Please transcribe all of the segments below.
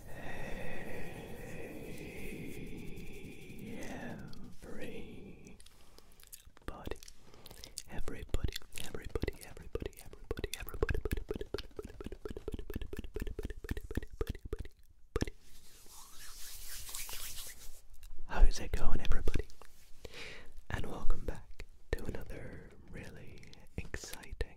Hey, everybody, everybody, everybody, everybody, everybody, everybody, everybody, everybody, How's it going, everybody? And welcome back to another really exciting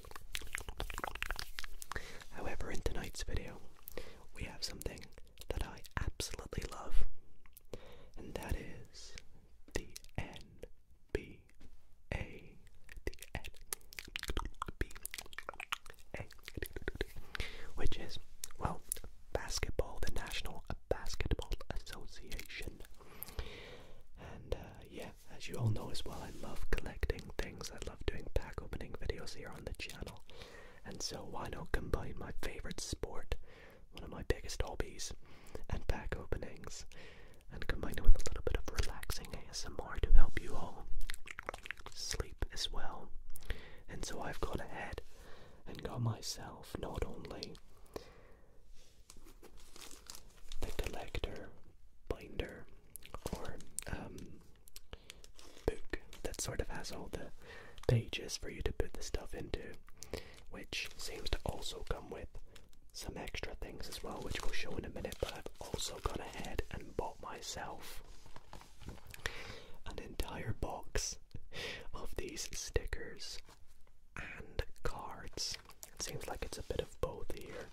However, in tonight's video, we have something that I absolutely love, and that is the NBA. The NBA. Which is, well, basketball, the National Basketball Association. And uh, yeah, as you all know as well, I love collecting things. I love doing pack opening videos here on the channel. And so why not combine my favorite sport, one of my biggest hobbies, and pack openings, and combine it with a little bit of relaxing ASMR to help you all sleep as well. And so I've gone ahead and got myself not only the collector binder or um book that sort of has all the pages for you to put the stuff into, which seems to also come with some extra things as well, which we'll show in a minute. But I've also gone ahead and bought myself an entire box of these stickers and cards. It seems like it's a bit of both here.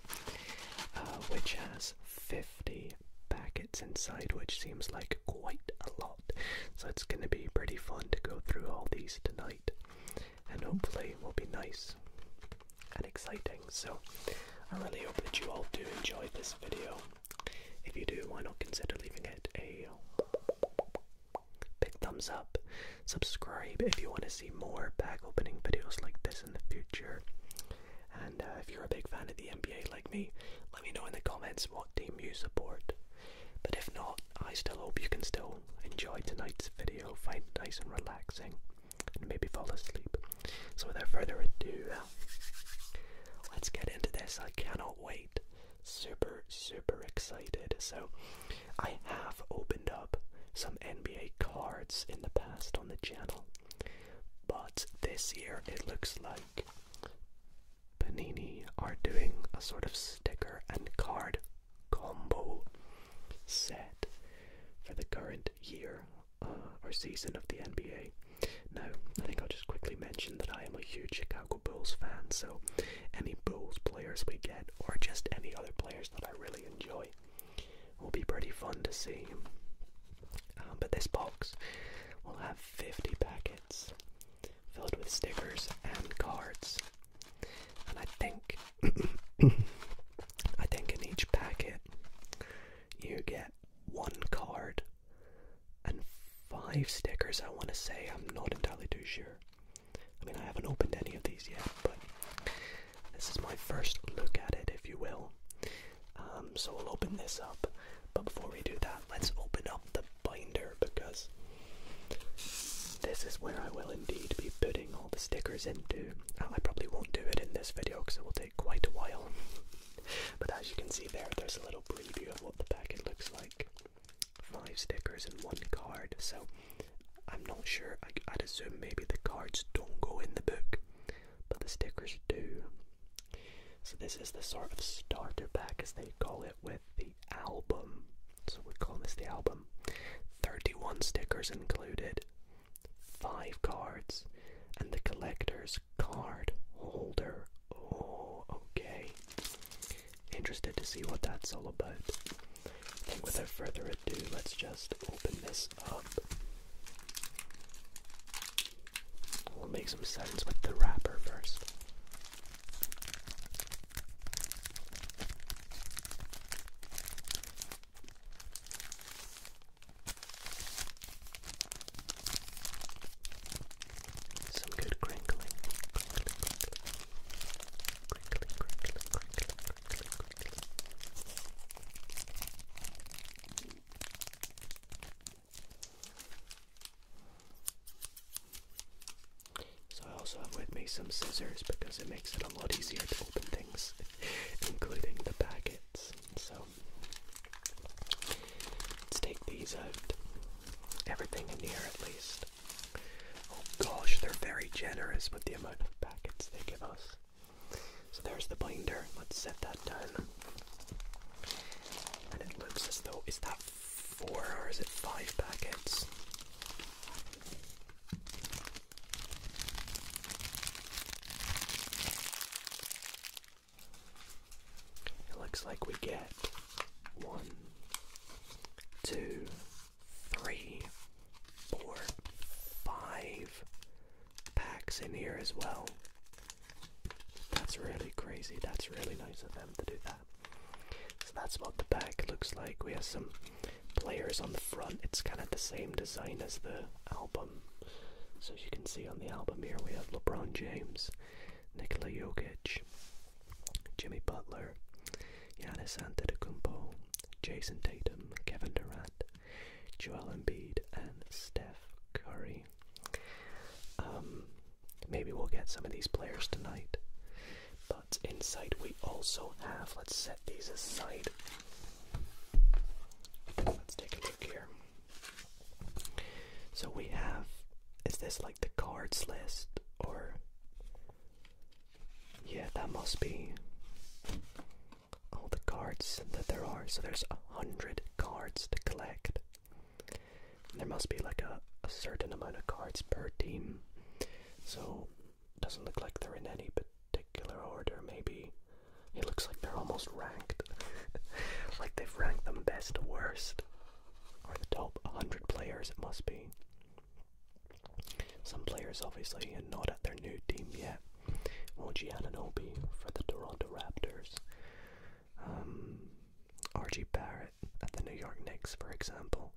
Uh, which has 50 packets inside, which seems like quite a lot. So it's going to be pretty fun to go through all these tonight, and hopefully, will be nice and exciting. So I really hope that you all do enjoy this video. If you do, why not consider leaving it a big thumbs up? Subscribe if you want to see more bag opening videos like this in the future. And uh, if you're a big fan of the NBA like me, let me know in the comments what team you support. But if not, I still hope you can still enjoy tonight's video, find it nice and relaxing, and maybe fall asleep. So without further ado, let's get into this. I cannot wait. Super, super excited. So I have opened up some NBA cards in the past on the channel. But this year it looks like Panini are doing a sort of sticker and card combo set for the current year uh, or season of the NBA. Now, I think I'll just quickly mention that I am a huge Chicago Bulls fan, so any Bulls players we get, or just any other players that I really enjoy, will be pretty fun to see. Um, but this box will have 50 packets filled with stickers and cards, and I think I think in each packet you get one card and five stickers. I want to say I'm not entirely too sure. I mean, I haven't opened any of these yet, but this is my first look at it, if you will. Um, so we'll open this up. But before we do that, let's open up the binder because this is where I will indeed be putting all the stickers into. I probably won't do it in this video because it will take quite a while. but as you can see there, there's a little preview of what the packet looks like. Five stickers and one card. So I'm not sure. I'd assume maybe the cards don't go in the book, but the stickers do. So this is the sort of starter pack, as they call it, with the album. So we call this the album. 31 stickers included, 5 cards, and the collector's card holder. Oh, okay. Interested to see what that's all about. I think without further ado, let's just open this up. We'll make some sense with the wrapper first. Some good crinkling. So I also have with me some scissors because it makes it a lot easier to open things, including the packets. So let's take these out. Everything in here at least. Oh gosh, they're very generous with the amount of packets they give us. So there's the binder. Let's set that down. And it looks as though is that four or is it five packets? It looks like we get one, two, three, four, five packs in here as well. That's really crazy. That's really nice of them to do that. So that's what the back looks like. We have some players on the front. It's kind of the same design as the album. So you can see on the album here, we have LeBron James, Nikola Jokic, Jimmy Butler, Giannis Antetokounmpo, Jason Tatum, Kevin Durant, Joel Embiid and Steph Curry. Um, maybe we'll get some of these players tonight. But inside we also have, let's set these aside. Let's take a look here. So we have, is this like the cards list or? Yeah, that must be all the cards that there are. So there's a hundred cards to collect. there must be like a, a certain amount of cards per team. So it doesn't look like they're in any particular order. Maybe it looks like they're almost ranked. like they've ranked them best to worst. Or the top 100 players, it must be. Some players obviously are not at their new team yet. OG Ananobi for the Toronto Raptors. Um, RG Barrett at the New York Knicks, for example.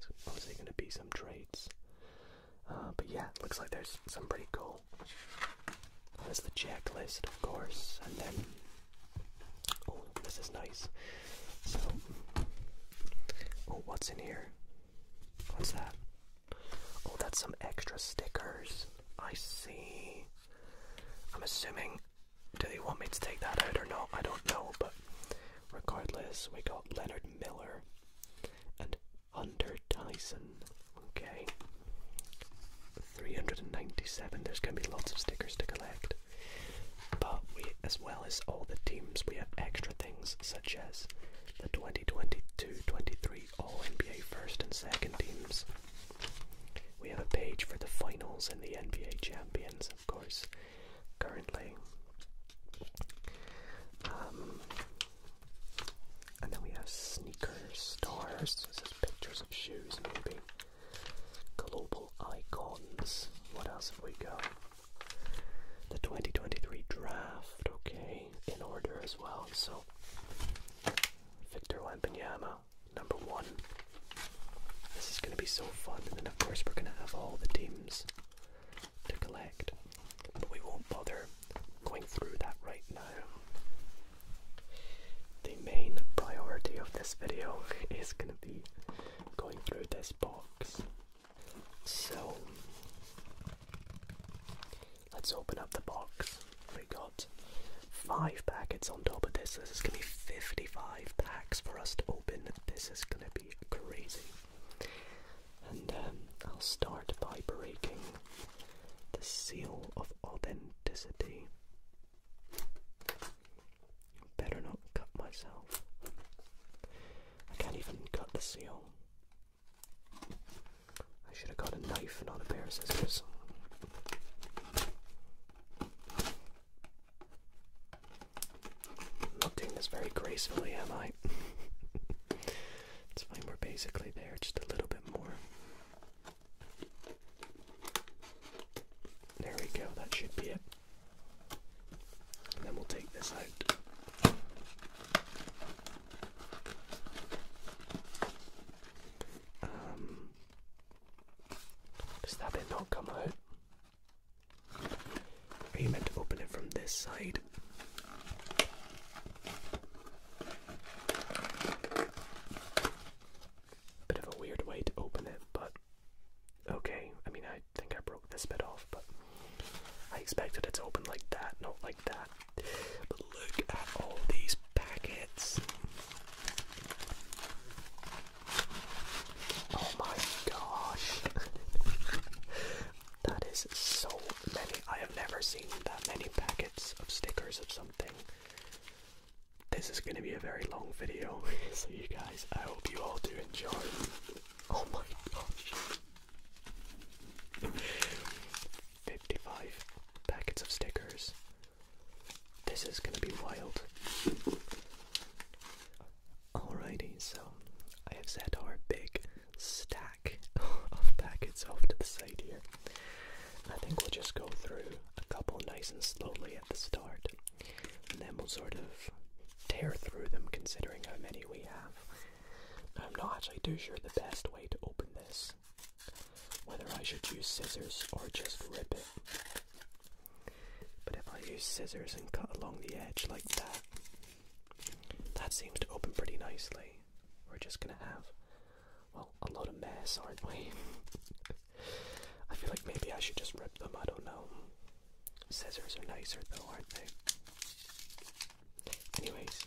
So obviously going to be some trades. Uh, but yeah, looks like there's some pretty cool. There's the checklist, of course, and then oh, this is nice. So, oh, what's in here? What's that? Oh, that's some extra stickers. I see. I'm assuming. Do they want me to take that out or not? I don't know, but regardless, we got Leonard Miller and Hunter Tyson. Okay. 397. There's going to be lots of stickers to collect. But we, as well as all the teams, we have extra things such as the 2022 23 All NBA first and second teams, we have a page for the finals and the NBA champions, of course, currently. Um, and then we have sneakers, stars. This is pictures of shoes, maybe. Global icons. What else have we got? The 2023 draft, okay, in order as well. So Victor Wembanyama, number one. This is going to be so fun, and then of course we're going to have all the teams to collect, but we won't bother going through that right now. The main priority of this video is going to be going through this box. So, Let's open up the box. We got five packets on top of this. This is gonna be 55 packs for us to open. This is gonna be crazy. And um, I'll start by breaking the seal of authenticity. Better not cut myself. I can't even cut the seal. I should have got a knife, not a pair of scissors. not doing this very gracefully, am I? it's fine, we're basically there, just a little bit more. There we go, that should be it. then we'll take this out. Um, does that bit not come out? Are you meant to open it from this side? Bit of a weird way to open it, but okay. I mean, I think I broke this bit off, but I expected it to open like that, not like that. But look at all these packets. Oh my gosh. that is so many. I have never seen that many packets of stickers of something. This is going to be a very long video, so you guys, I hope you all do enjoy. Oh my gosh. 55 packets of stickers. This is gonna be wild. Alrighty, so I have set our big stack of packets off to the side here. I think we'll just go through a couple nice and slowly at the start, and then we'll sort of tear through them considering how many we have. I'm not actually too sure the best way to open this whether I should use scissors or just rip it. But if I use scissors and cut along the edge like that, that seems to open pretty nicely. We're just gonna have, well, a lot of mess, aren't we? I feel like maybe I should just rip them, I don't know. Scissors are nicer though, aren't they? Anyways,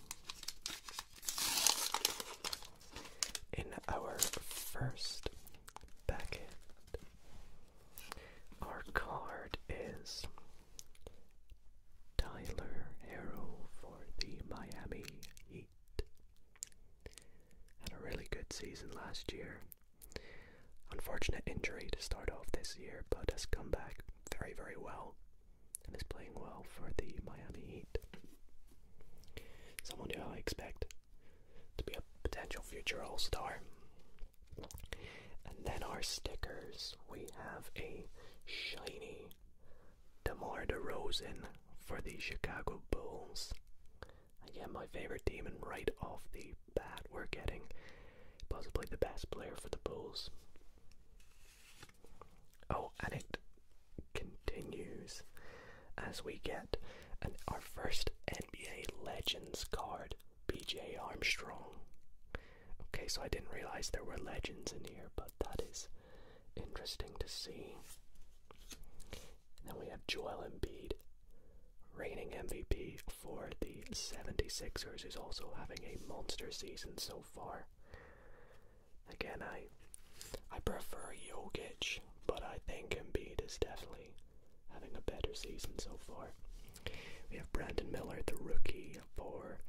in our first packet, our card is Tyler Arrow for the Miami Heat. Had a really good season last year. Unfortunate injury to start off this year, but has come back very, very well and is playing well for the Miami Heat. Someone who I expect to be a potential future All Star. And then our stickers. We have a shiny DeMar DeRozan for the Chicago Bulls. Again, my favorite team, and right off the bat, we're getting possibly the best player for the Bulls. Oh, and it continues as we get our first NBA Legends card, BJ Armstrong. Okay, so I didn't realize there were legends in here, but that is interesting to see. then we have Joel Embiid, reigning MVP for the 76ers, He's also having a monster season so far. Again, I I prefer Jokic, but I think Embiid is definitely having a better season so far. We have Brandon Miller, the rookie for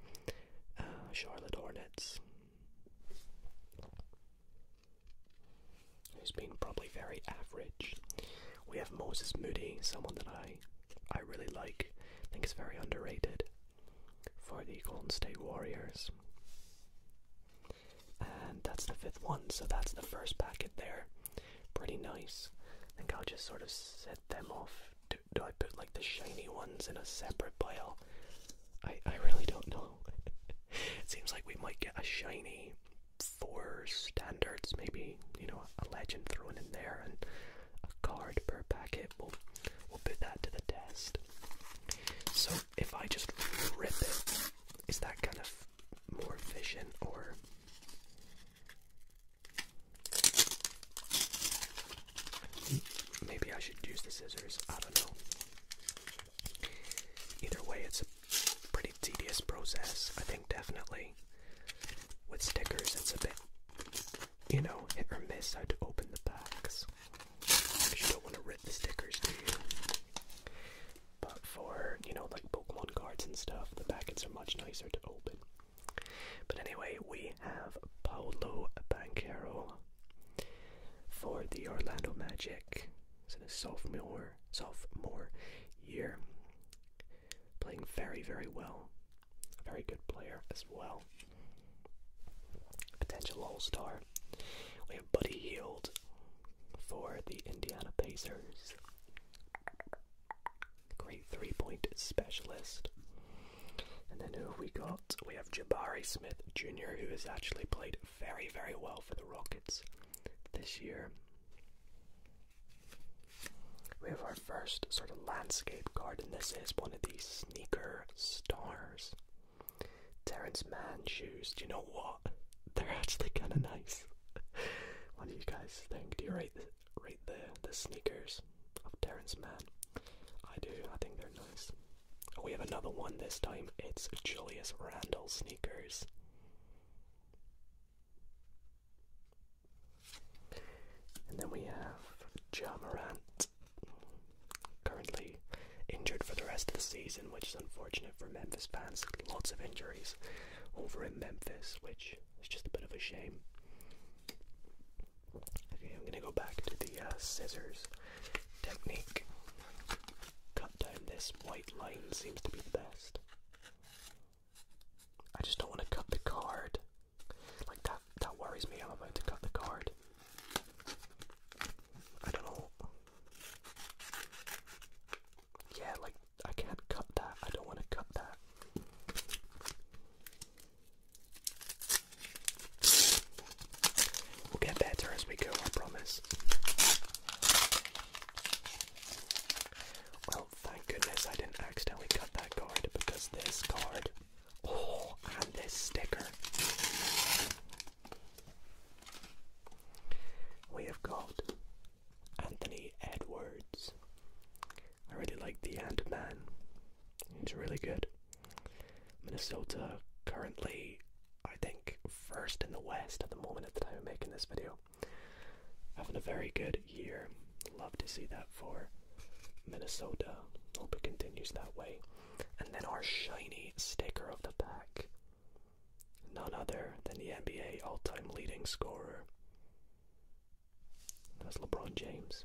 uh, Charlotte Hornets. He's been probably very average. We have Moses Moody, someone that I I really like. I think is very underrated for the Golden State Warriors. And that's the fifth one, so that's the first packet there. Pretty nice. I think I'll just sort of set them off. Do, I put like the shiny ones in a separate pile? I, I really don't know. it seems like we might get a shiny four standards, maybe, you know, a legend thrown in there and a card per packet. We'll, we'll put that to the test. So if I just rip it, is that kind of more efficient or? Maybe I should use the scissors. I don't know. Either way, it's a pretty tedious process. I think definitely with stickers, it's a bit, you know, hit or miss how to open the packs you don't want to rip the stickers, do you? But for, you know, like Pokemon cards and stuff, the packets are much nicer to open. But anyway, we have Paolo Banquero for the Orlando Magic. It's in his sophomore, sophomore year. Playing very, very well. A very good player as well. Potential all star. We have Buddy Heald for the Indiana Pacers. Great three point specialist. And then who have we got? We have Jabari Smith Jr., who has actually played very, very well for the Rockets this year. We have our first sort of landscape garden. This is one of these sneaker stars. Terrence Man shoes. Do you know what? They're actually kind of nice. what do you guys think? Do you rate the, rate the the sneakers of Terrence Man? I do. I think they're nice. Oh, we have another one this time. It's Julius Randall sneakers. And then we have Ja currently injured for the rest of the season, which is unfortunate for Memphis fans. Lots of injuries over in Memphis, which is just a bit of a shame. Okay, I'm gonna go back to the uh, scissors technique. Cut down this white line seems to be the best. I just don't want to cut the card. Like that that worries me I'm about to cut the card. I don't know. Yeah, like I can't cut that. I don't want to cut that. We'll get better as we go, I promise. Well, thank goodness I didn't accidentally cut that card because this card, oh, and this sticker we have got Anthony Edwards. I really like the Ant Man. He's really good. Minnesota currently, I think, first in the West at the moment at the time of making this video. Having a very good year. Love to see that for Minnesota. Hope it continues that way. And then our shiny sticker of the pack. None other than the NBA all time leading scorer. That's LeBron James.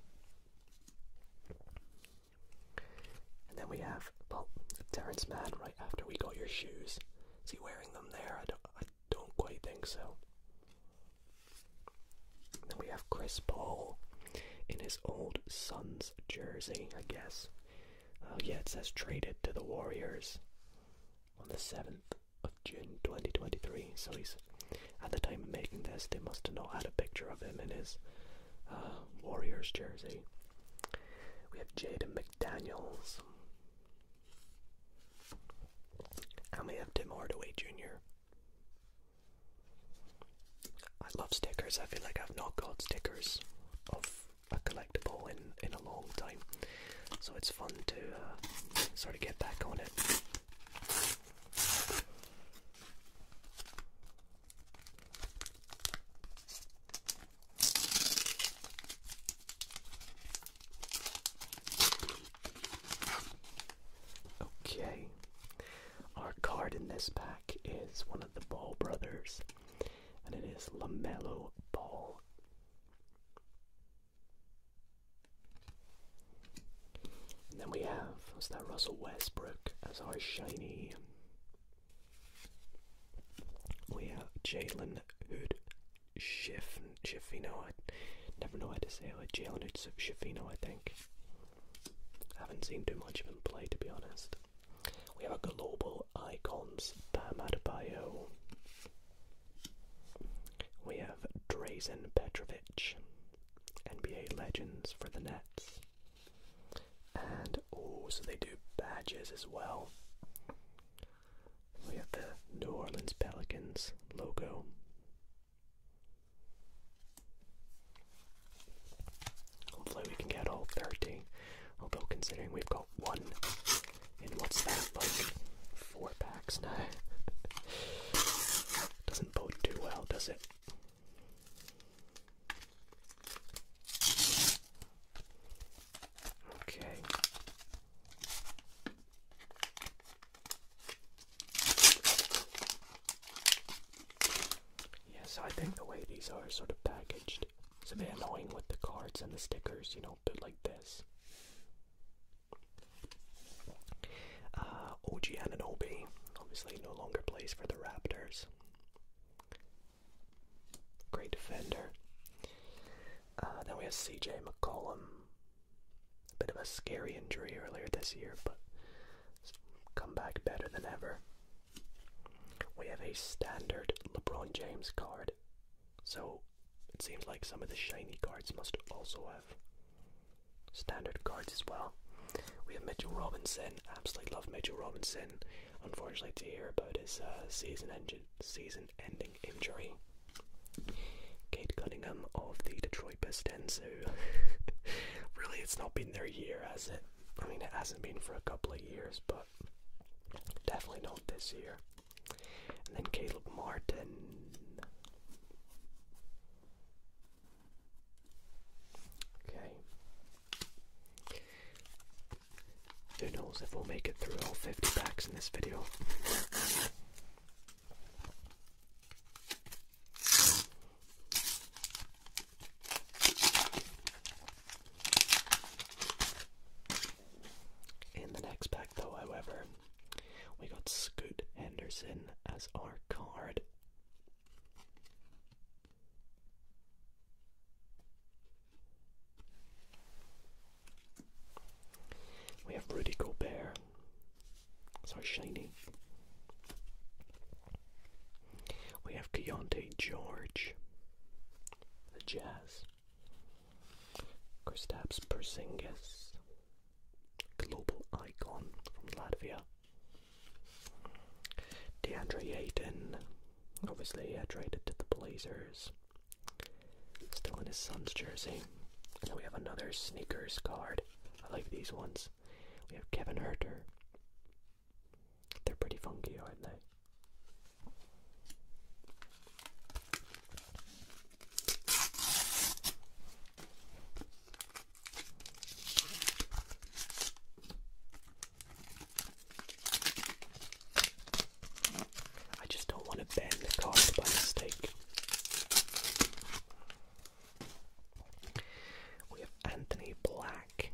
And then we have, well, Terrence Mann right after we got your shoes. Is he wearing them there? I don't, I don't quite think so. then we have Chris Paul in his old son's jersey, I guess. Oh, yeah, it says traded to the Warriors on the 7th of June 2023. So he's, at the time of making this, they must have not had a picture of him in his uh, Warriors jersey. We have Jaden McDaniels. And we have Tim Hardaway Jr. I love stickers. I feel like I've not got stickers of a collectible in in a long time, so it's fun to uh, sort of get back on it. Okay, our card in this pack is one of the Ball Brothers and it is LaMelo Ball. And then we have, what's that, Russell Westbrook as our shiny. We have Jalen Hood Schiff, Schiffino. I never know how to say it. Jalen Hood Schiffino, I think. I haven't seen too much of him play, to be honest. We have a Global Icons, Bam Bio. We have Drazen Petrovic, NBA Legends for the Nets. And, oh, so they do badges as well. We have the New Orleans Pelicans logo. Hopefully we can get all 30. Although considering we've got one in what's that, like four packs now. Doesn't bode too well, does it? Okay. Yeah, I think the way these are sort of packaged it's a bit annoying with the cards and the stickers, you know, they like this. Uh, OG Ananobi obviously no longer plays for the Raptors. Great defender. Uh, then we have CJ McCollum. bit of a scary injury earlier this year, but come back better than ever. We have a standard LeBron James card, so it seems like some of the shiny cards must also have standard cards as well. We have Mitchell Robinson. Absolutely love Mitchell Robinson. Unfortunately, to hear about his uh, season-ending season ending injury. Kate Cunningham of the Detroit Pistons, who really it's not been their year, has it? I mean, it hasn't been for a couple of years, but definitely not this year. And then Caleb Martin. Okay. Who knows if we'll make it through all 50 packs in this video. In the next pack, though, however, we got Scoot Henderson as our card. We have Rudy Gobert. Sorry, shiny. We have Keontae George, the Jazz, Kristaps Porzingis, global icon from Latvia, DeAndre Ayton, obviously uh, traded to the Blazers, still in his son's jersey, and we have another sneakers card. I like these ones. We have Kevin Herter, they're pretty funky, aren't they? I just don't want to bend the card by We have Anthony Black.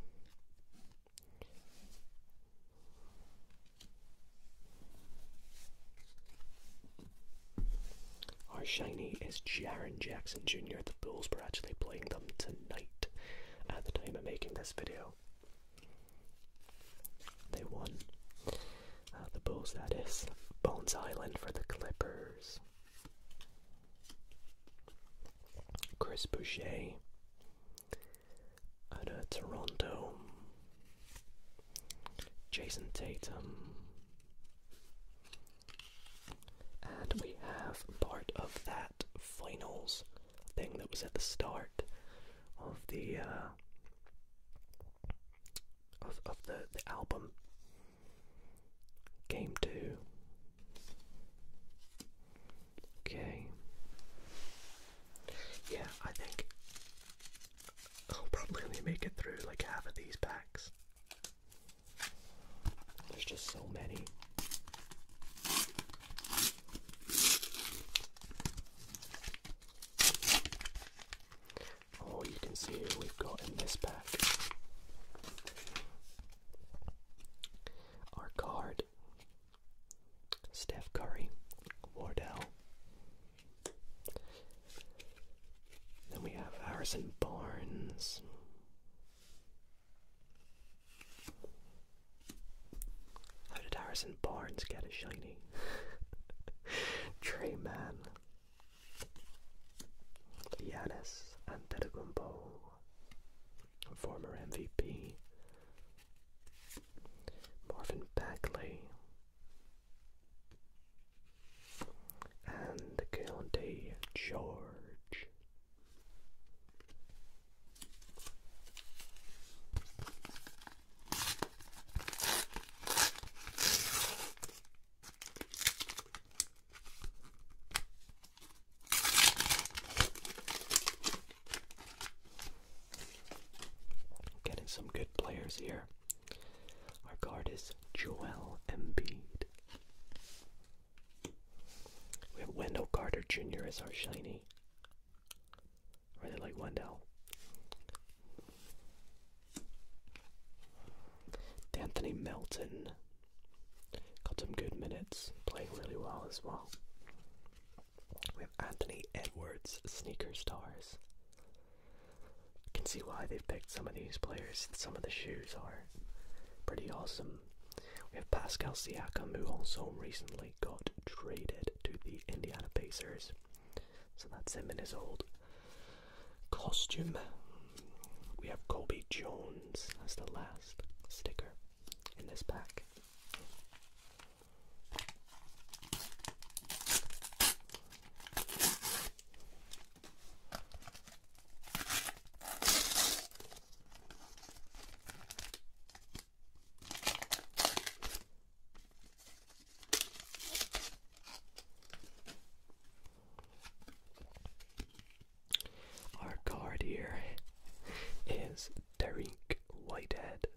Our shiny is Jaron Jackson Jr. The Bulls are actually playing them tonight at the time of making this video. They won. Uh, the Bulls, that is. Bones Island for the Clippers. Chris Boucher out of Toronto, Jason Tatum, and we have part of that finals thing that was at the start of the uh, of the album. Game two. Okay. Yeah, I think I'll probably only make it through like half of these packs. There's just so many. Oh, you can see who we've got in this pack. Our card Steph Curry, Wardell. Then we have Harrison Barnes. How did Harrison Barnes get a shiny? tray Man, Giannis Antetokounmpo, former MVP, Marvin Bagley, and County George. Getting some good players here. Our guard is Joel Embiid. We have Wendell Carter Jr. as our shiny. Really like Wendell. Anthony Melton got some good minutes, playing really well as well. We have Anthony Edwards, sneaker stars. can see why they've picked some of these players. Some of the shoes are pretty awesome. We have Pascal Siakam, who also recently got traded to the Indiana Pacers. So that's him in his old costume. We have Kobe Jones as the last sticker in this pack. Our card here is Derek Whitehead.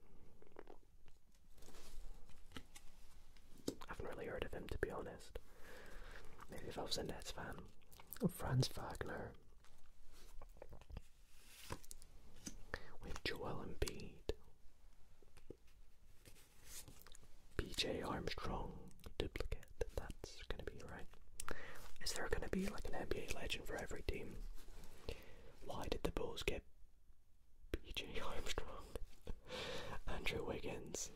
I haven't really heard of him to be honest. Maybe if I was a Nets fan. Franz Wagner. We have Joel Embiid. BJ Armstrong duplicate. That's gonna be right. Is there gonna be like an NBA legend for every team? Why did the Bulls get B.J. Armstrong, Andrew Wiggins,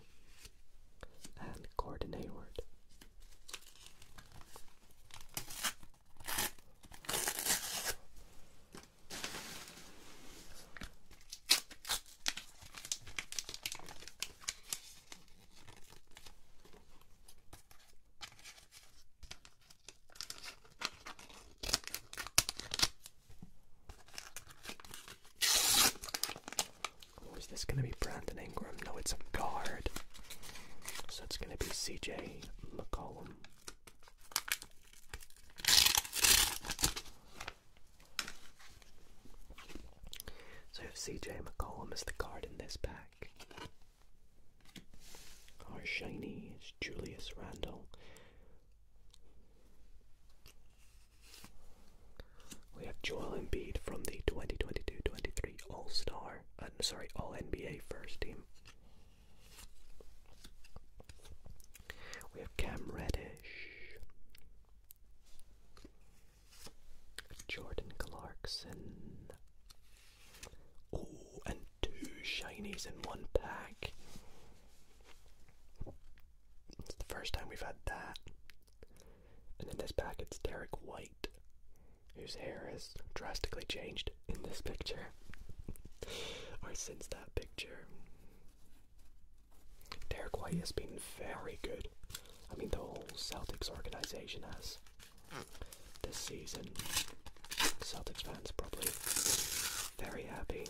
and Gordon Hayward? Oh, is this going to be Brandon Ingram? No, it's a guard. So it's going to be CJ McCollum. So CJ McCollum is the guard in this pack, our shiny is Julius Randall. We have Joel Embiid from the 2022-23 All-Star, uh, sorry, All-NBA First Team. We have Cam Reddish, Jordan Clarkson, Oh, and two shinies in one pack. It's the first time we've had that. And in this pack, it's Derek White, whose hair has drastically changed in this picture. or since that picture. Derek White has been very good. I mean, the whole Celtics organization has this season. Celtics fans probably very happy.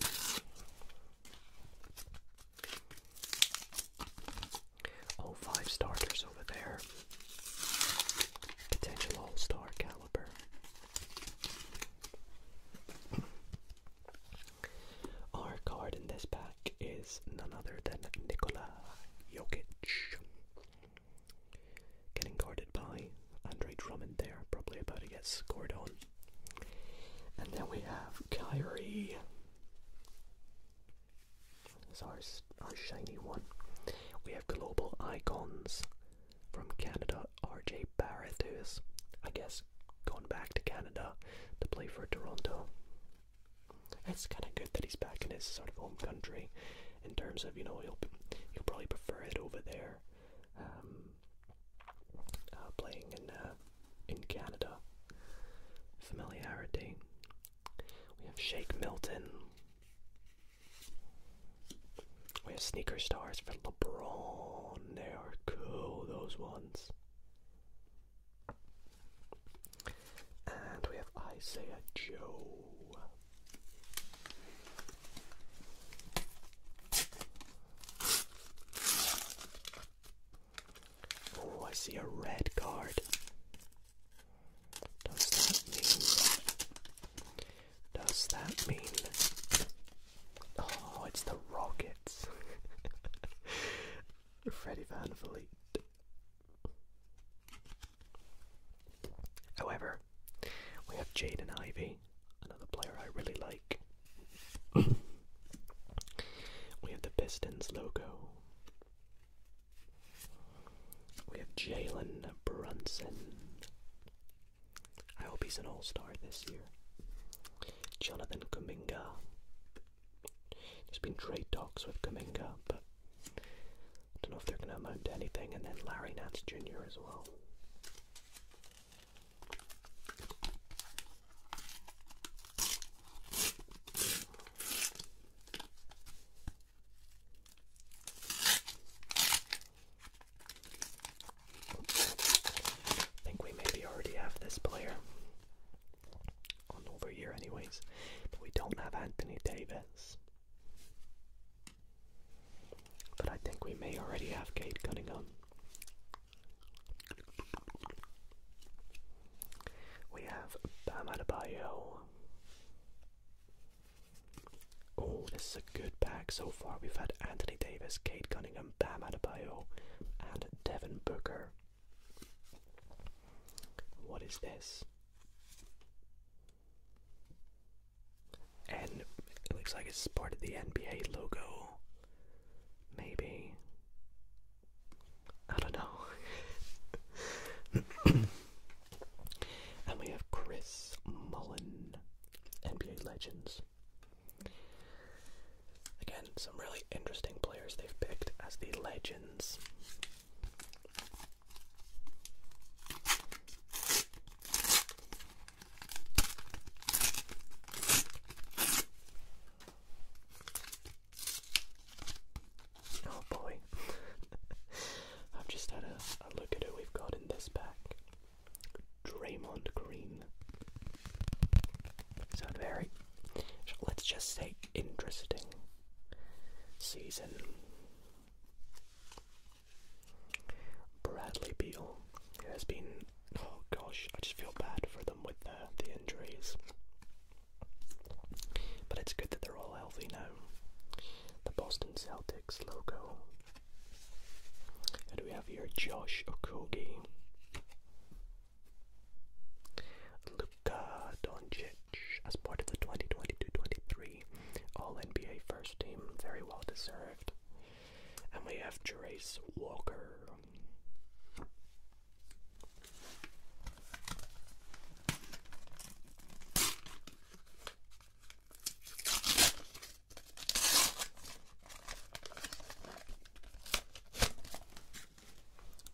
Oh, five starters over there. Potential all star caliber. Our card in this pack is none other than Nikola Jokic. Getting guarded by Andre Drummond there, probably about to get scored on. And then we have Kyrie. That's our, shiny one. We have global icons from Canada, RJ Barrett, I guess, going back to Canada to play for Toronto. It's kind of good that he's back in his sort of home country in terms of you know he'll he'll probably prefer it over there, um, uh, playing in uh, in Canada. Familiarity. We have Shake Milton. We have sneaker stars for LeBron. They are cool, those ones. And we have Isaiah Joe. Oh, I see a red card. Does that mean? Does that mean? Oh, it's the Rockets. Freddie Van Vliet. However, we have Jade and Ivy, another player I really like. we have the Pistons logo. We have Jalen Brunson. I hope he's an all star this year. Jonathan Kuminga. There's been trade talks with Kuminga, but don't know if they're going to amount to anything. And then Larry Nance Jr. as well. I think we maybe already have this player on over here anyways, but we don't have Anthony Davis. But I think we may already have Kate Cunningham. We have Bam Adebayo. Oh, this is a good pack so far. We've had Anthony Davis, Kate Cunningham, Bam Adebayo, and Devin Booker. What is this? And it looks like it's part of the NBA logo. Maybe. I don't know. and we have Chris Mullen, NBA Legends. Again, some really interesting players they've picked as the legends. Oh boy, I've just had a, look at who we've got in this pack. Draymond Green. Sound very, let's just say, interesting season. Bradley Beal has been, oh gosh, I just feel bad for them with the, the injuries. But it's good that they're all healthy now. The Boston Celtics logo. And we have here Josh Okogie. Luka Doncic as part of the 2022 all NBA first team, very well deserved. And we have Trace Walker.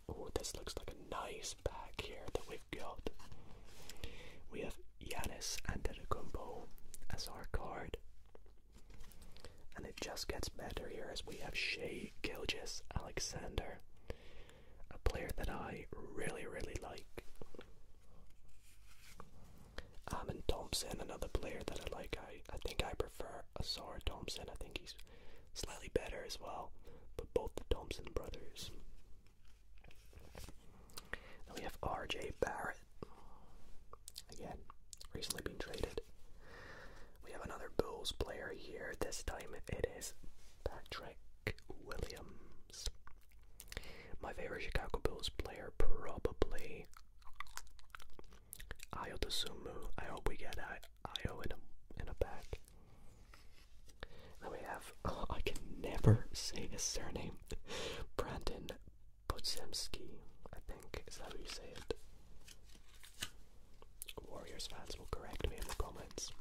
Oh, this looks like a nice pack here that we've got. We have Yanis Antetokounmpo as our card. And it just gets better here as we have Shay Gilgis Alexander, a player that I really, really like. Amon Thompson, another player that I like. I, I think I prefer Asar Thompson. I think he's slightly better as well. But both the Thompson brothers then we have RJ Barrett. Again, recently been traded. We have another Bulls player here. This time it is Patrick Williams. My favorite Chicago Bulls player, probably Ayo Dosunmu. I hope we get Ayo in a, in a pack. Then we have I can never say his surname. Brandon Podziemski, I think, is that how you say it? Warriors fans will correct me in the comments.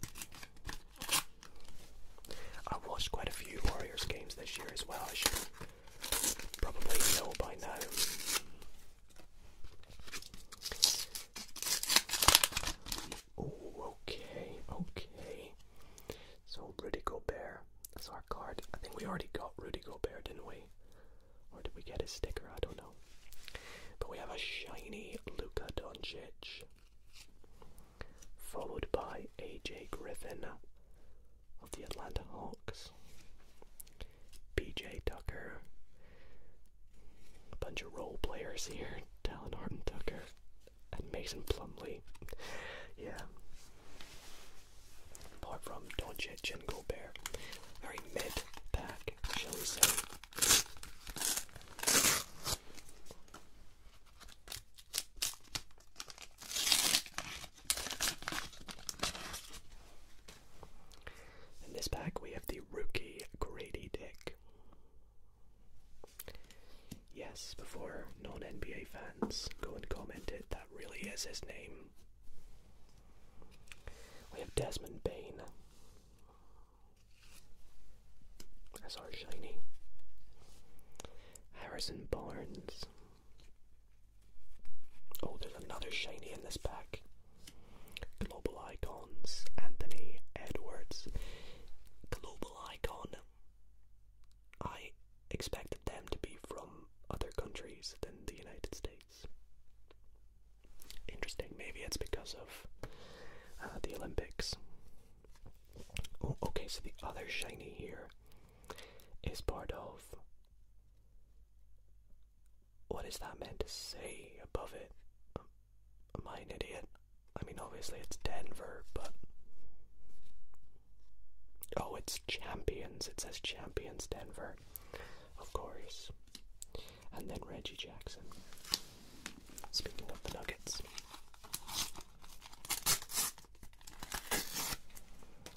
I watched quite a few Warriors games this year as well. I should probably know by now. Oh, okay, okay. So Rudy Gobert, that's our card. I think we already got Rudy Gobert, didn't we? Or did we get his sticker? I don't know. But we have a shiny Luca Doncic, followed by AJ Griffin of the Atlanta Hawks, PJ Tucker, a bunch of role players here, Talon Horton Tucker, and Mason Plumley. yeah. Apart from Don't Doncic Jingle Bear, Very mid pack, shall we say. In this pack, we have the rookie Grady Dick. Yes, before non NBA fans go and comment it, that really is his name. We have Desmond Bain. That's our shiny. Harrison Barnes. Oh, there's another shiny in this pack. Global Icons, Anthony Edwards. Global Icon. I expected them to be from other countries than the United States. Interesting, maybe it's because of uh, the Olympics. Oh, okay, so the other shiny here is part of. What is that meant to say above it? Um, am I an idiot? I mean, obviously it's Denver, but Oh, it's Champions. It says Champions Denver. Of course. And then Reggie Jackson. Speaking of the Nuggets.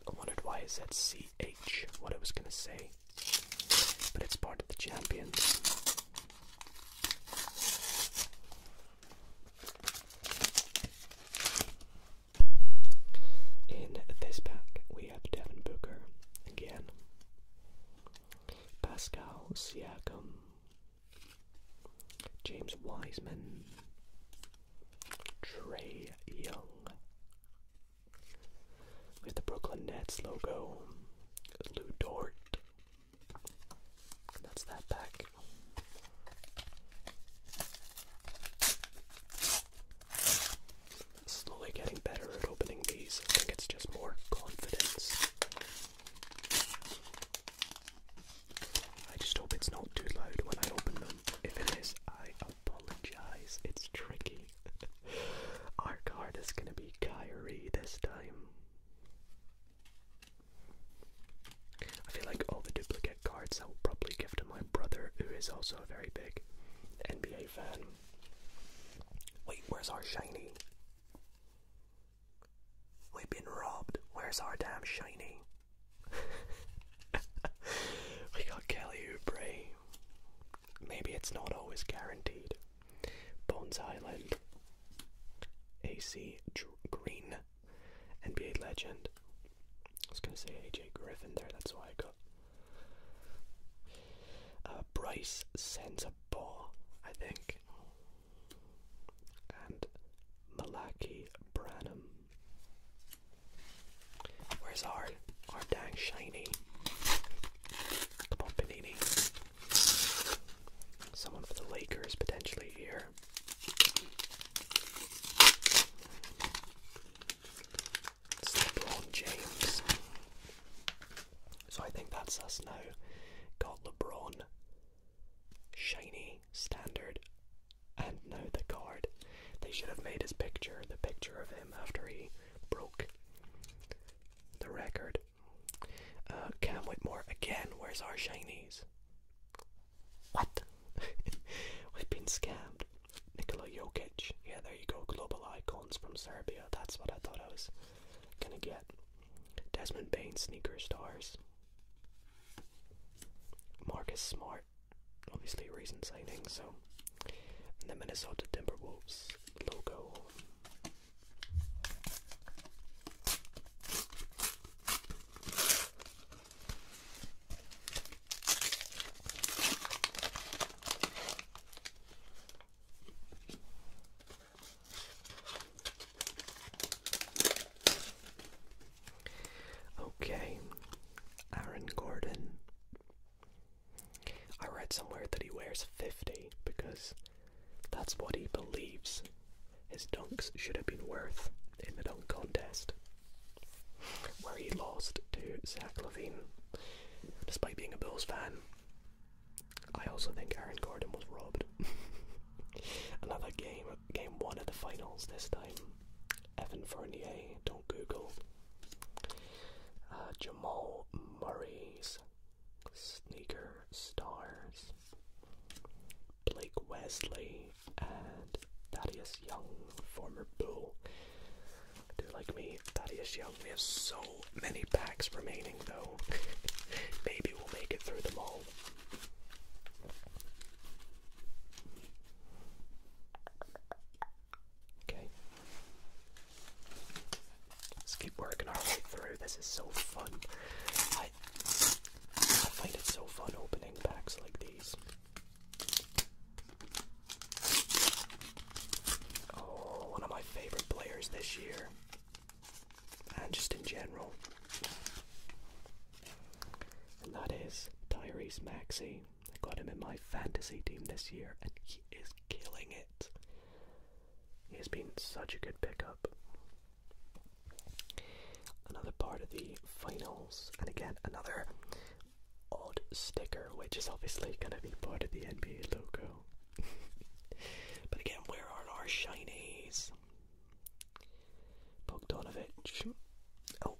I wondered why is that CH, what I was going to say. But it's part of the Champions. In this pack, we have Devin Booker again, Pascal Siakam, James Wiseman, Trey Young, with the Brooklyn Nets logo, Lou Dort. That's that pack. Slowly getting better at opening these. I think it's just more confidence. I just hope it's not too loud when I open them. If it is, I apologize. It's tricky. Our card is going to be Kyrie this time. I feel like all the duplicate cards I will probably give to my brother, who is also a very big NBA fan. Wait, where's our shiny? We've been robbed. Where's our damn shiny? we got Kelly Oubre. Maybe it's not always guaranteed. Bones Island. AC Green. NBA legend. I was gonna say AJ Griffin there, that's why I got. Uh, Bryce sends I think. And Malachi Branham. Where's our our dang shiny? Come on, Panini. Someone for the Lakers potentially here. LeBron James. So I think that's us now. Got LeBron, shiny, standard, and now the guard. They should have made his picture, the picture of him after he broke the record. Uh, Cam Whitmore, again, where's our shinies? What? We've been scammed. Nikola Jokic. Yeah, there you go. Global icons from Serbia. That's what I thought I was gonna get. Desmond Bain sneakers. stars. Marcus Smart. Obviously, a recent signing. So, and the Minnesota Timberwolves logo. Okay, Aaron Gordon. I read somewhere that he wears 50 because that's what he believes his dunks should have been worth in the dunk contest, where he lost to Zach Levine. Despite being a Bulls fan, I also think Aaron Gordon was robbed. Another game, game one of the finals this time. Evan Fournier, don't Google. Uh, Jamal Murray's sneaker stars. Blake Wesley, and Thaddeus Young, former Bull. I do like me, Thaddeus Young. We have so many packs remaining though. Maybe we'll make it through them all. Okay. Let's keep working our way through. This is so fun. I find it so fun opening packs like these. Oh, one of my favorite players this year. And just in general. And that is Tyrese Maxey. I got him in my fantasy team this year and he is killing it. He has been such a good pickup. Another part of the finals, and again another odd sticker, which is obviously going to be part of the NBA logo. but again, where are our shinies? Bogdanovich. Oh,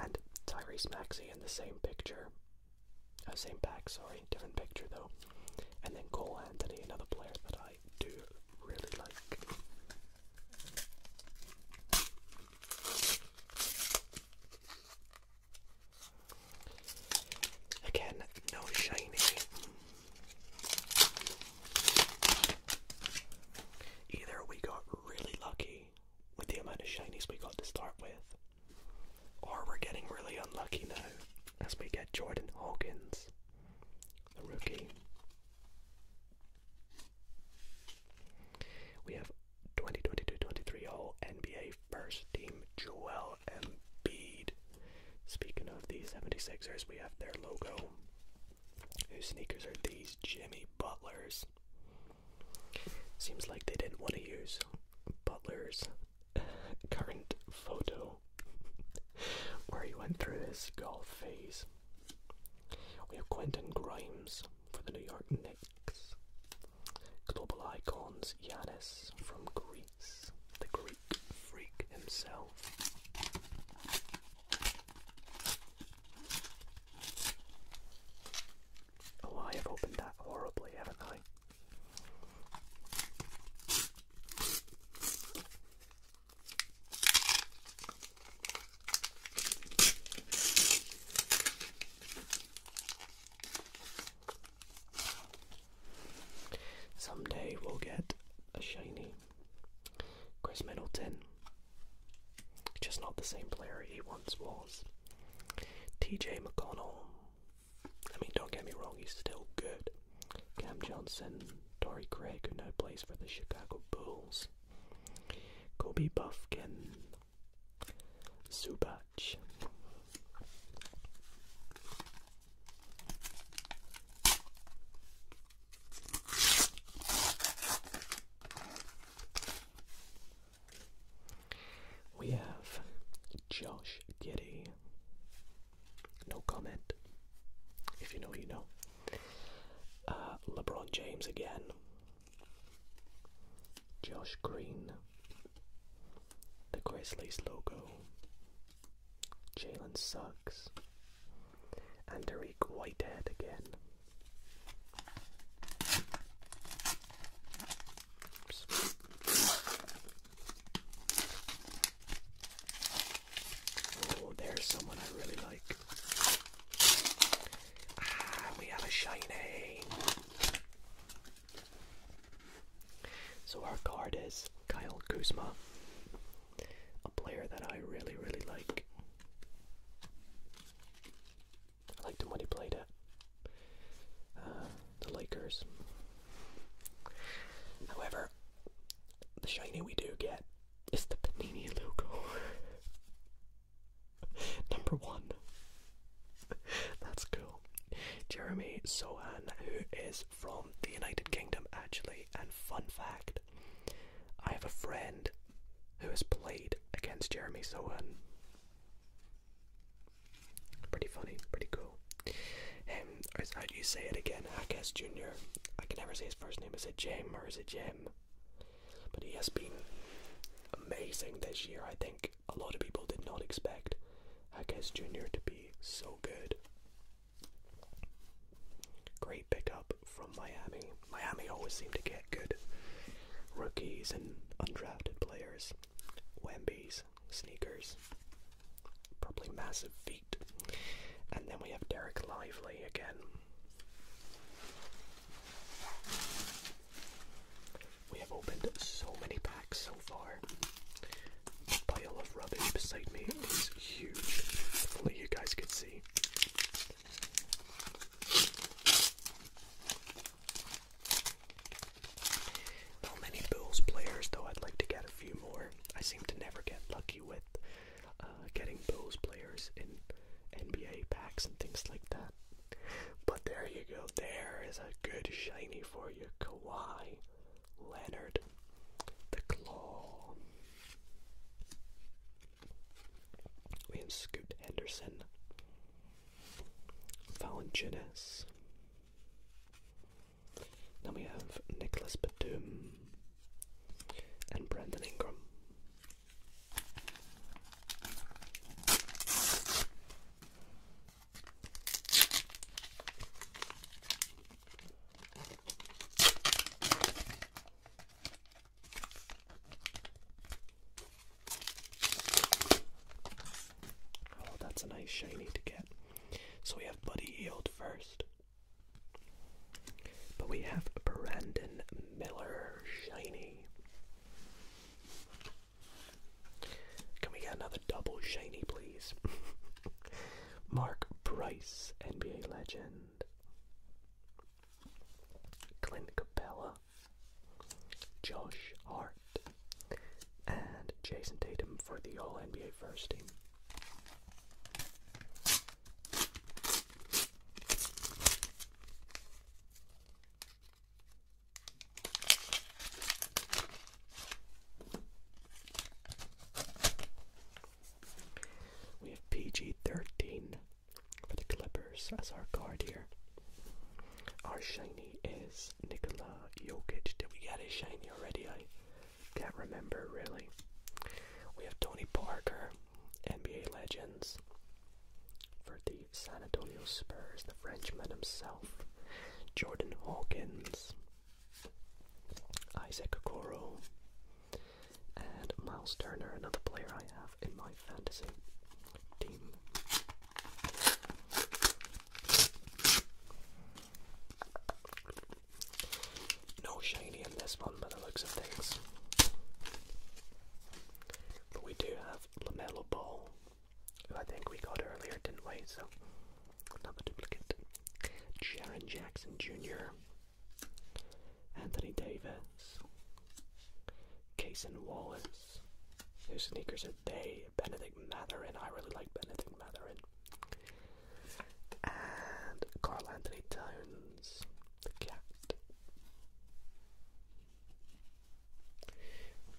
and Tyrese Maxey in the same picture. Oh, same pack, sorry, different picture though. And then Cole Anthony, another player that I do really like. Again, no shiny. Either we got really lucky with the amount of shinies we got to start with, or we're getting really unlucky now as we get Jordan Hawkins, the rookie. We have 2022-23 All NBA First Team Joel Embiid. Speaking of the 76ers, we have their logo. Whose sneakers are these? Jimmy Butler's. Seems like they didn't want to use Butler's current photo where he went through his golf phase. We have Quentin Grimes for the New York Knicks. Global icons Yanis from Greece, the Greek freak himself. Oh, I have opened that horribly, haven't I? Someday we'll get a shiny Chris Middleton. Just not the same player he once was. TJ McConnell. I mean, don't get me wrong, he's still good. Cam Johnson, Torrey Craig, who now plays for the Chicago Bulls. Kobe Buffkin, Zubach. We have Josh Giddy. No comment. If you know, you know. Uh, LeBron James again. Josh Green, the Grizzlies logo, Jalen sucks. and Whitehead again. Oh, there's someone I really like. Ah, we have a shiny. So our card is Kyle Kuzma, a player that I really, really like. I liked him when he played at uh, the Lakers. However, the shiny we do get is the Panini logo. Number one. That's cool. Jeremy Sohan, who is from the United Kingdom, actually, and fun fact I have a friend who has played against Jeremy Sohan. Pretty funny, pretty cool. Um, how do you say it again? Hackes Jr. I can never say his first name. Is it Jem or is it Jem? But he has been amazing this year. I think a lot of people did not expect Hackes Jr. to be so good. Great pickup from Miami. Miami always seem to get good rookies and undrafted players. Wemby's, sneakers, probably massive feet. And then we have Derek Lively again. We have opened so many packs so far. The pile of rubbish beside me is huge. Hopefully you guys can see. Not many Bills players though, I'd like to get a few more. I seem to never get lucky with uh, getting Bills players in NBA packs and things like that. But there you go. There is a good shiny for you. Kawhi Leonard. The Claw. We have Scoot Henderson. Valanciunas. Then we have Nicholas Batum and Brandon Ingram. Oh, that's a nice shiny to get. So we have Buddy Yield first. But we have Brandon Miller Shiny. Can we get another double shiny, please? Mark Price, NBA legend. Clint Capella, Josh Hart, and Jason Tatum for the All NBA First Team. We have PG 13 for the Clippers as our card here. Our shiny is Nikola Jokic. Did we get a shiny already? I can't remember really. We have Tony Parker. NBA legends. For the San Antonio Spurs, the Frenchman himself, Jordan Hawkins, Isaac Okoro, and Miles Turner, another player I have in my fantasy team. No shiny in this one by the looks of things. But we do have LaMelo Ball, who I think we got earlier, didn't we? So, another duplicate. Jaron Jackson Jr., Anthony Davis, Kaysen Wallace, whose sneakers today? Benedict Matherin, I really like Benedict Matherin. And Carl Anthony Towns, the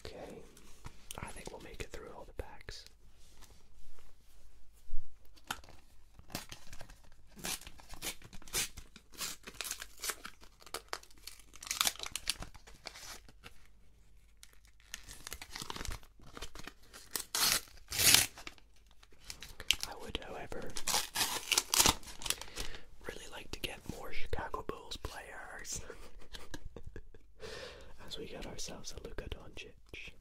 Okay, I think we'll make it through all the packs. I would, however, really like to get more Chicago Bulls players. As we get ourselves a Luka Doncic,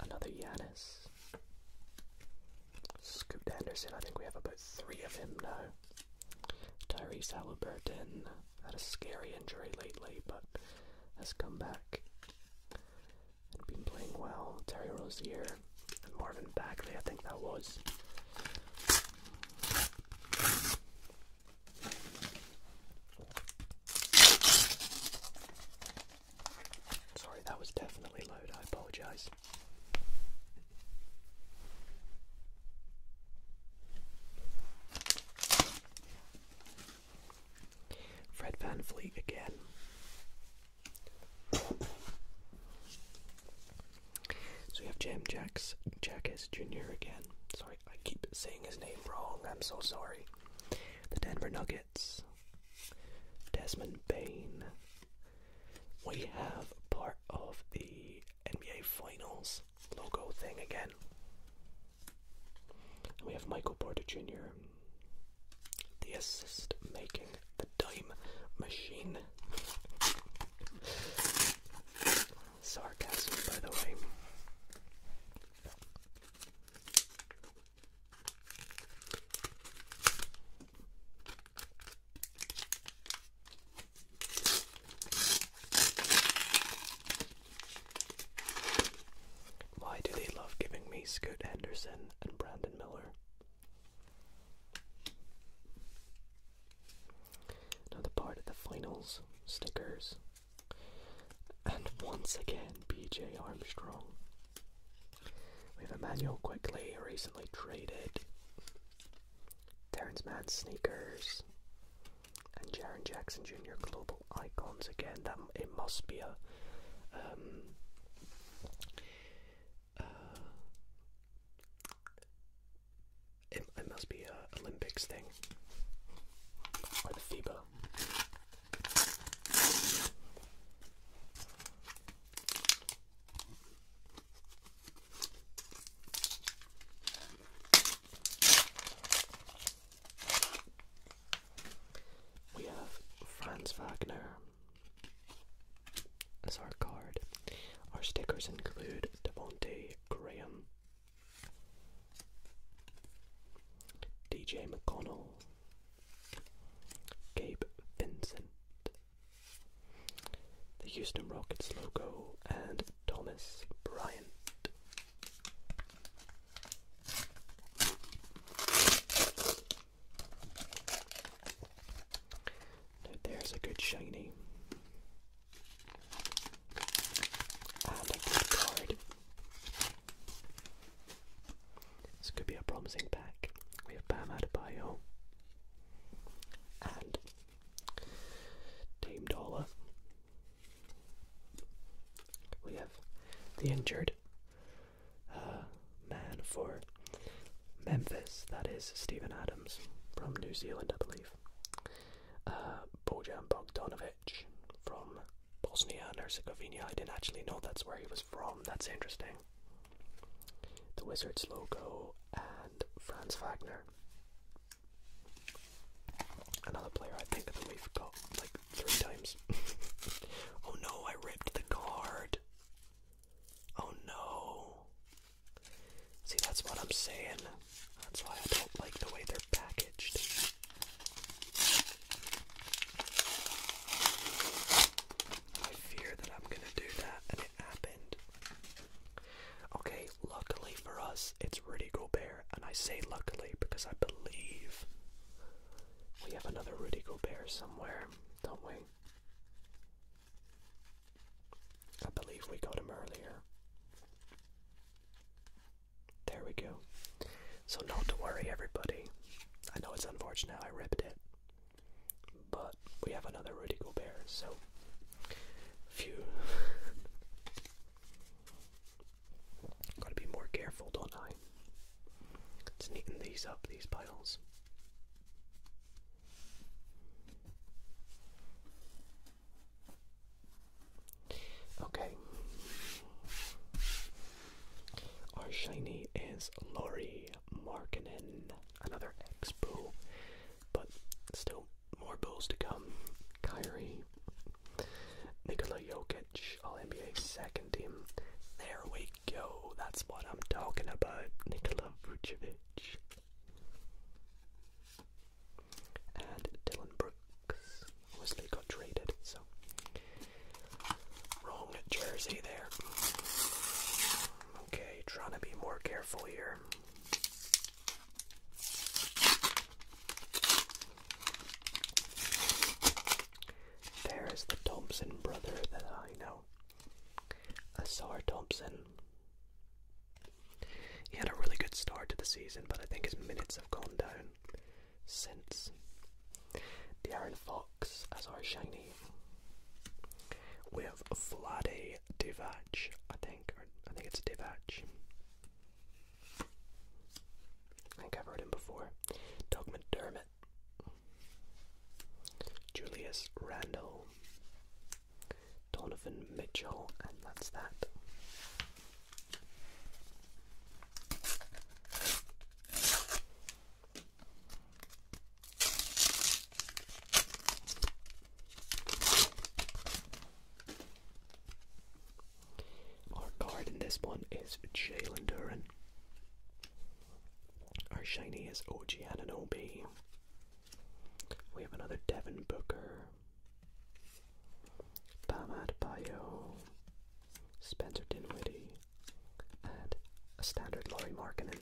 another Yanis, Scoop Anderson. I think we have about three of him now. Terry Halliburton had a scary injury lately, but has come back and been playing well. Terry Rozier, Marvin Bagley, I think that was. Sorry, that was definitely loud. I apologize. Fred Van again. so we have Jam Jacks Jackass Jr. again. Sorry, I keep saying his name wrong. I'm so sorry. The Denver Nuggets. Desmond Bain. We have part of the NBA Finals logo thing again. And we have Michael Porter Jr. The assist making the dime machine. Sarcasm, by the way. Why do they love giving me Scoot Henderson and Brandon Miller? Now, part of the finals stickers. And once again, BJ Armstrong. We have Emmanuel Quickly, recently traded. Terrence Mann sneakers. And Jaron Jackson Jr. Global Icons again. That it must be a um, uh, it, must be an Olympics thing or the FIBA. We have Franz Wagner, that's our card. Our stickers include Devonte Graham, DJ McConnell, Gabe Vincent, the Houston Rockets logo, and Thomas Bryant there's a good shiny. Ah, this could be a promising pack. We have Bam Adebayo and Team Dollar. We have the injured uh, man for Memphis. That is Stephen Adams from New Zealand, I believe. Uh, Bojan Bogdanovic from Bosnia and Herzegovina. I didn't actually know that's where he was from. That's interesting. The Wizards logo and Franz Wagner. Another player I think that we've got like three times. oh no, I ripped the card. Oh no. See, that's what I'm saying. That's why I don't like the way they're packaged. I fear that I'm gonna do that, and it happened. Okay, luckily for us, it's Rudy Gobert, and I say luckily because I believe we have another Rudy Gobert somewhere, don't we? I believe we got him earlier. There we go. So, not to worry, everybody. I know it's unfortunate I ripped it, but we have another Rudy Gobert, so. Phew. Gotta be more careful, don't I? It's neaten these up, these piles. Okay. Our shiny is Laurie Markinen, another ex but still more boos to come. Kyrie, Nikola Jokic, All NBA second team. There we go. Yo, that's what I'm talking about, Nikola Vucevic. And Dylan Brooks obviously got traded, so wrong jersey there. Okay, trying to be more careful here. There is the Thompson brother that I know. Asar Thompson. He had a really good start to the season, but I think his minutes have gone down since. De'Aaron Fox as uh, our shiny. We have Vlade Divac, I think, I think it's Divac. I think I've heard him before. Doug McDermott. Julius Randall. Donovan Mitchell, and that's that. Our card in this one is Jalen Duran. Our shiny is OG Obi. We have another Devin Booker, Bam Adebayo, Spencer Dinwiddie, and a standard Lori Markkinen.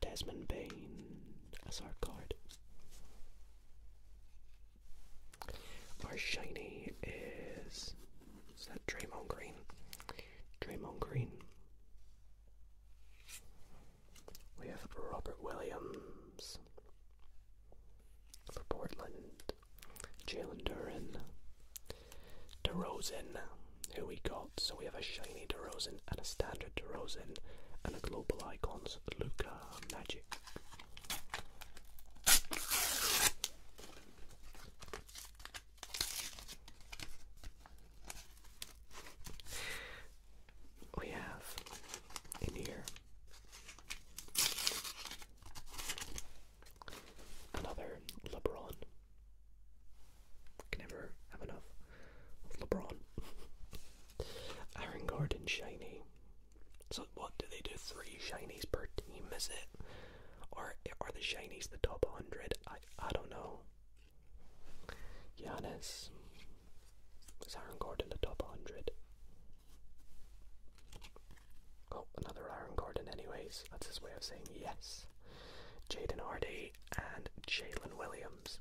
Desmond Bain as our card. Our shiny is is that Draymond Green? Draymond Green. We have Robert Williams for Portland. Jalen Duran, DeRozan, who we got. So we have a shiny DeRozan and a standard DeRozan and a global icons Luca Magic. We have in here Another LeBron. Can never have enough LeBron. Aaron Gordon shiny. So what do they do? Three shinies per team, is it? Or are the shinies the top hundred? I I don't know. Giannis. Is Aaron Gordon the top hundred? Oh, another Aaron Gordon, anyways. That's his way of saying yes. Jaden Hardy and Jalen Williams.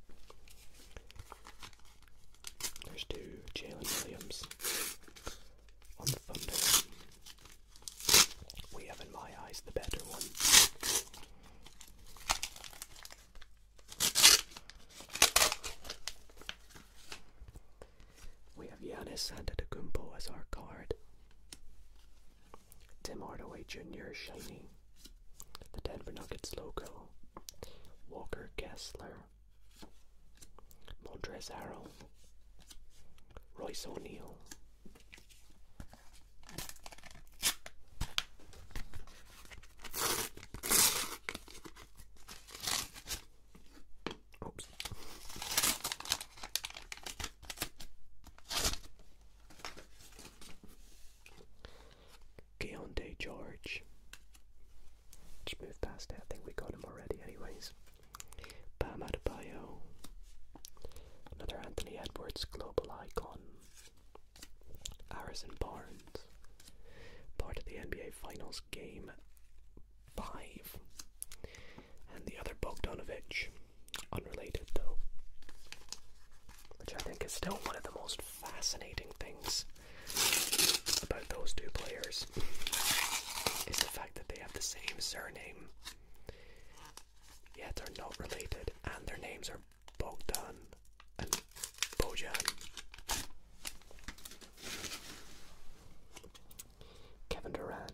There's two Jalen Williams on the Thunder. We have, in my eyes, the better one. We have Yanis Giannis Antetokounmpo as our guard. Tim Hardaway Jr. shining, The Denver Nuggets logo. Walker Kessler. Montrezl Harrell. Royce O'Neal. Oops. Keontae George. Just move past it. I think we got him already, anyways. Bam Adebayo. Another Anthony Edwards global icon. Harrison Barnes. Part of the NBA Finals game five. And the other Bogdanovich, unrelated though, which I think is still one of the most fascinating things about those two players is the fact that they have the same surname, yet they are not related, and their names are Bogdan and Bojan. Kevin Durant.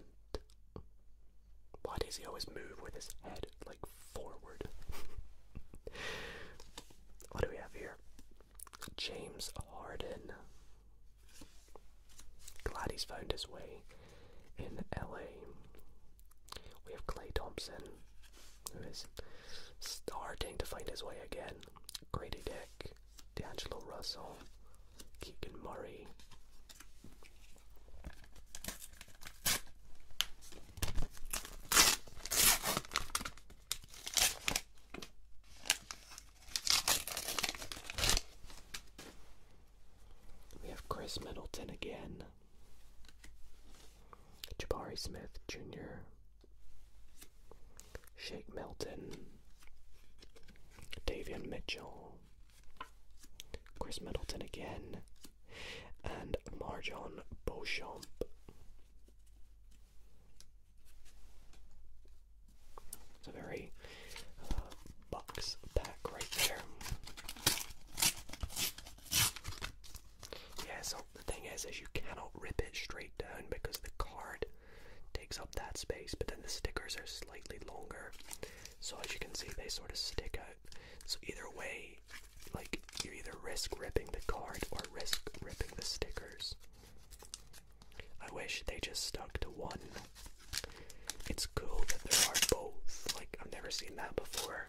Why does he always move with his head like forward? what do we have here? James Harden. Glad he's found his way in LA. We have Clay Thompson, who is starting to find his way again. Great Dick like D'Angelo Russell, Keegan Murray. We have Chris Middleton again, Jabari Smith Jr., Shake Milton, Davian Mitchell, Chris Middleton again, and Marjon Beauchamp. It's a very uh, box pack right there. Yeah, so the thing is, is you cannot rip it straight down because the card takes up that space, but then the stickers are slightly longer. So as you can see, they sort of stick out. So either way, like you either risk ripping the card or risk ripping the stickers. I wish they just stuck to one. It's cool that there are both. Like I've never seen that before.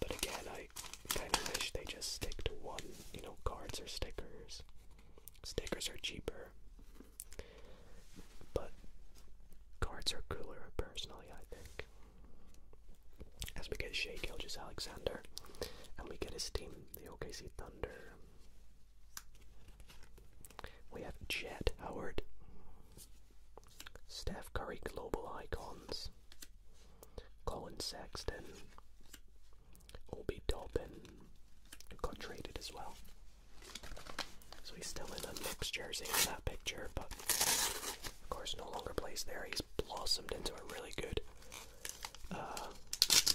But again, I kind of wish they just stick to one. You know, cards or stickers. Stickers are cheaper. But cards are cooler, personally, I think. As we get Shea Gilgis Alexander, and we get his team, the OKC Thunder. We have Jed Howard, Steph Curry Global Icons, Colin Sexton, Obi Toppin got traded as well. So he's still in a mixed jersey in that picture, but of course no longer plays there. He's blossomed into a really good uh,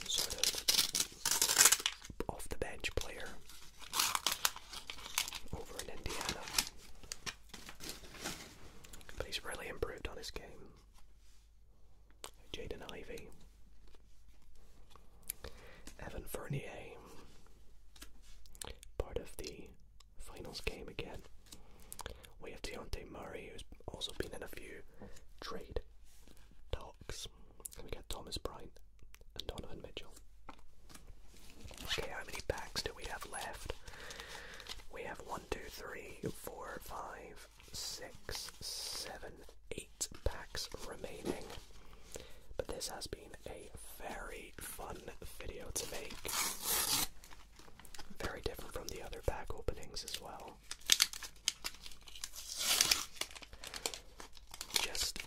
sort of off the bench player over in Indiana. But he's really improved on his game. Jaden Ivey, Evan Fernier, part of the finals game again. We have Deontay Murray, who's also been in a few trade talks. we got Thomas Bryant and Donovan Mitchell. Okay, how many packs do we have left? We have 1, 2, 3, 4, 5, 6, 7, eight packs remaining. But this has been a very fun video to make. Very different from the other pack openings as well. Just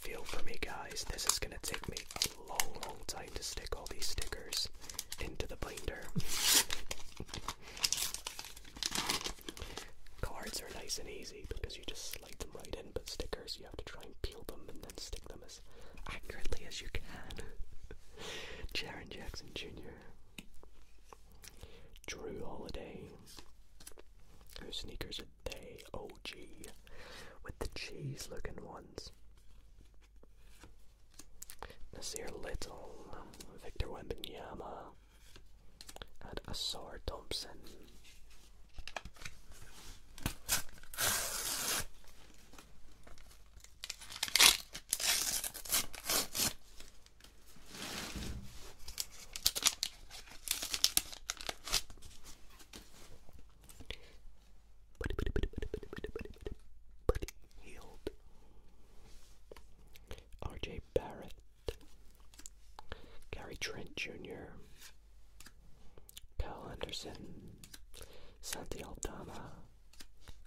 feel for me, guys. This is going to take me a long, long time to stick all these stickers into the binder. Cards are nice and easy because you just slide them right in, but stickers you have to try and peel them and then stick them as accurately as you can. Jaron Jackson Jr. Drew Holiday. Whose sneakers are they? OG. With the cheese looking ones. Nasir Little. Victor Wembanyama and Asar Thompson. Buddy, buddy, buddy, buddy, buddy, buddy, buddy, buddy, buddy, healed. RJ Barrett. Gary Trent Jr., Kyle Anderson, Santi Aldana,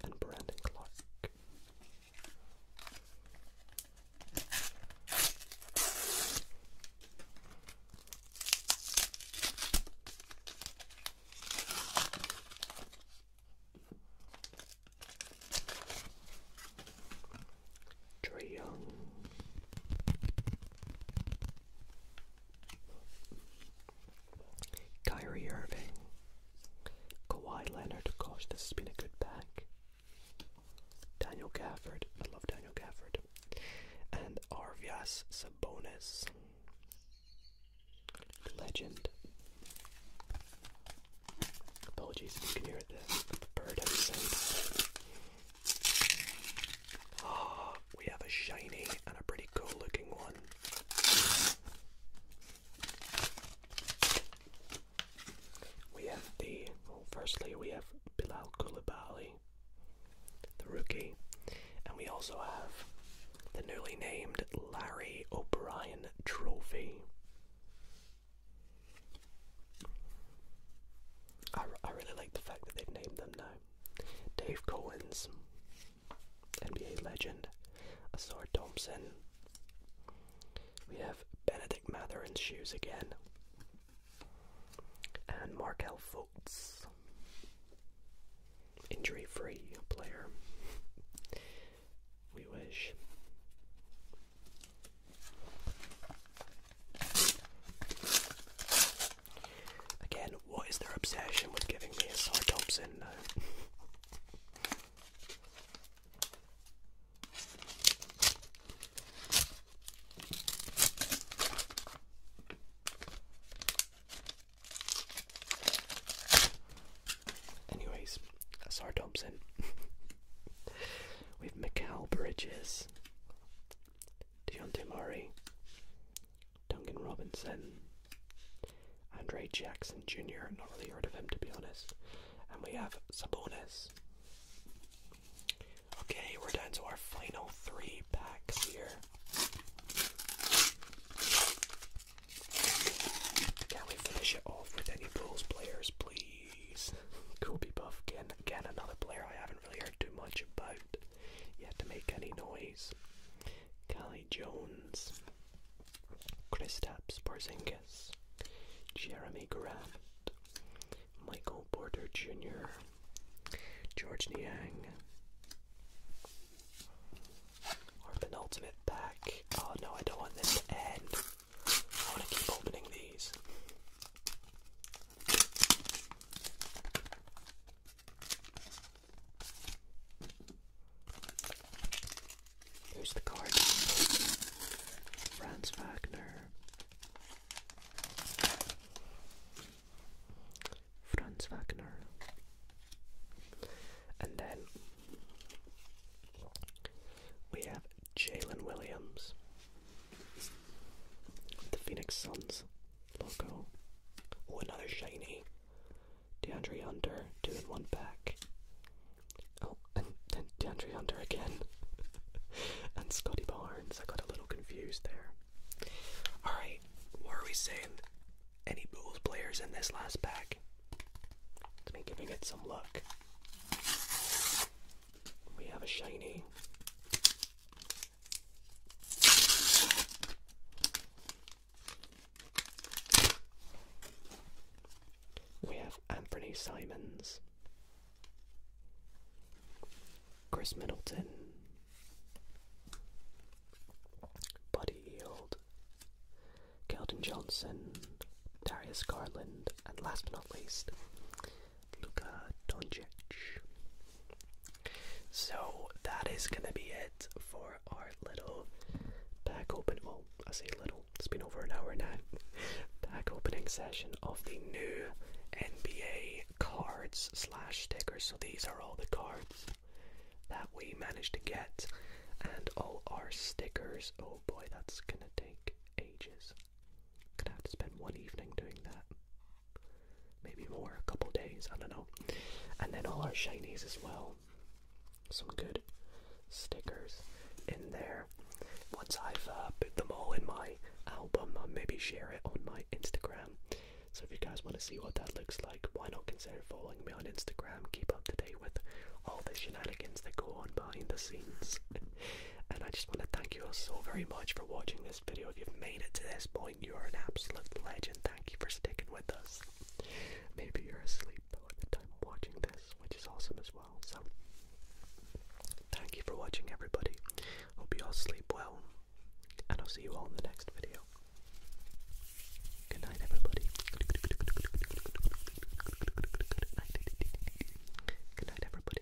and Brandon Clark. Trey Kyrie Irving. Kawhi Leonard, gosh, this has been a good pack. Daniel Gafford, I love Daniel Gafford. And Arvias Sabonis. Legend. Apologies if you can hear it there, but the bird at Ah, we have a shiny and a pretty cool looking one. We have the, firstly, we have Bilal Koulibaly, the rookie, and we also have the newly named Larry O'Brien Trophy. I, really like the fact that they've named them now. Dave Collins, NBA legend, Asar Thompson. We have Benedict Matherin's shoes again, and Markel Fultz, injury-free player. We wish. Again, what is their obsession with giving me a Psytopsin note? Anyways, that's Thompson. We've Mikal Bridges, Deontay Murray, Duncan Robinson, Andre Jackson Jr. Not really heard of him to be honest. And we have Sabonis. Okay, we're down to our final three packs here. Can we finish it off with any Bulls players, please? Jeez. Kobe Buff, again, again another player I haven't really heard too much about yet to make any noise. Kelly Jones, Kristaps Porzingis, Jeremy Grant, Michael Porter Jr., George Niang. Or penultimate pack. Oh no, I don't want this to end. I want to keep opening these. Here's the card. Franz Wagner. Franz Wagner. And then we have Jalen Williams. The Phoenix Suns logo. Oh, another shiny. DeAndre Hunter, doing one back. Oh, and then DeAndre Hunter again. and Scotty Barnes. I got a little confused there. Alright, what are we saying? Any Bulls players in this last pack? Let's be giving it some luck. We have a shiny. We have Anthony Simons, Chris Middleton, Buddy Yield, Keldon Johnson, Darius Garland, and last but not least, Luka Doncic. So that is going to be it for our little pack open. Well, I say little, it's been over an hour now. Pack opening session of the new NBA cards slash stickers. So these are all the cards that we managed to get and all our stickers. Oh boy, that's going to take ages. Gonna have to spend one evening doing that. Maybe more, a couple days, I don't know. And then all our shinies as well. Some good stickers in there. Once I've uh, put them all in my album, I'll uh, maybe share it on my Instagram. So if you guys want to see what that looks like, why not consider following me on Instagram? Keep up to date with all the shenanigans that go on behind the scenes. And I just want to thank you all so very much for watching this video. If you've made it to this point, you are an absolute legend. Thank you for sticking with us. Maybe you're asleep at the time of watching this, which is awesome as well. So, thank you for watching, everybody. Hope you all sleep well, and I'll see you all in the next video. Good night, everybody. Good night, everybody.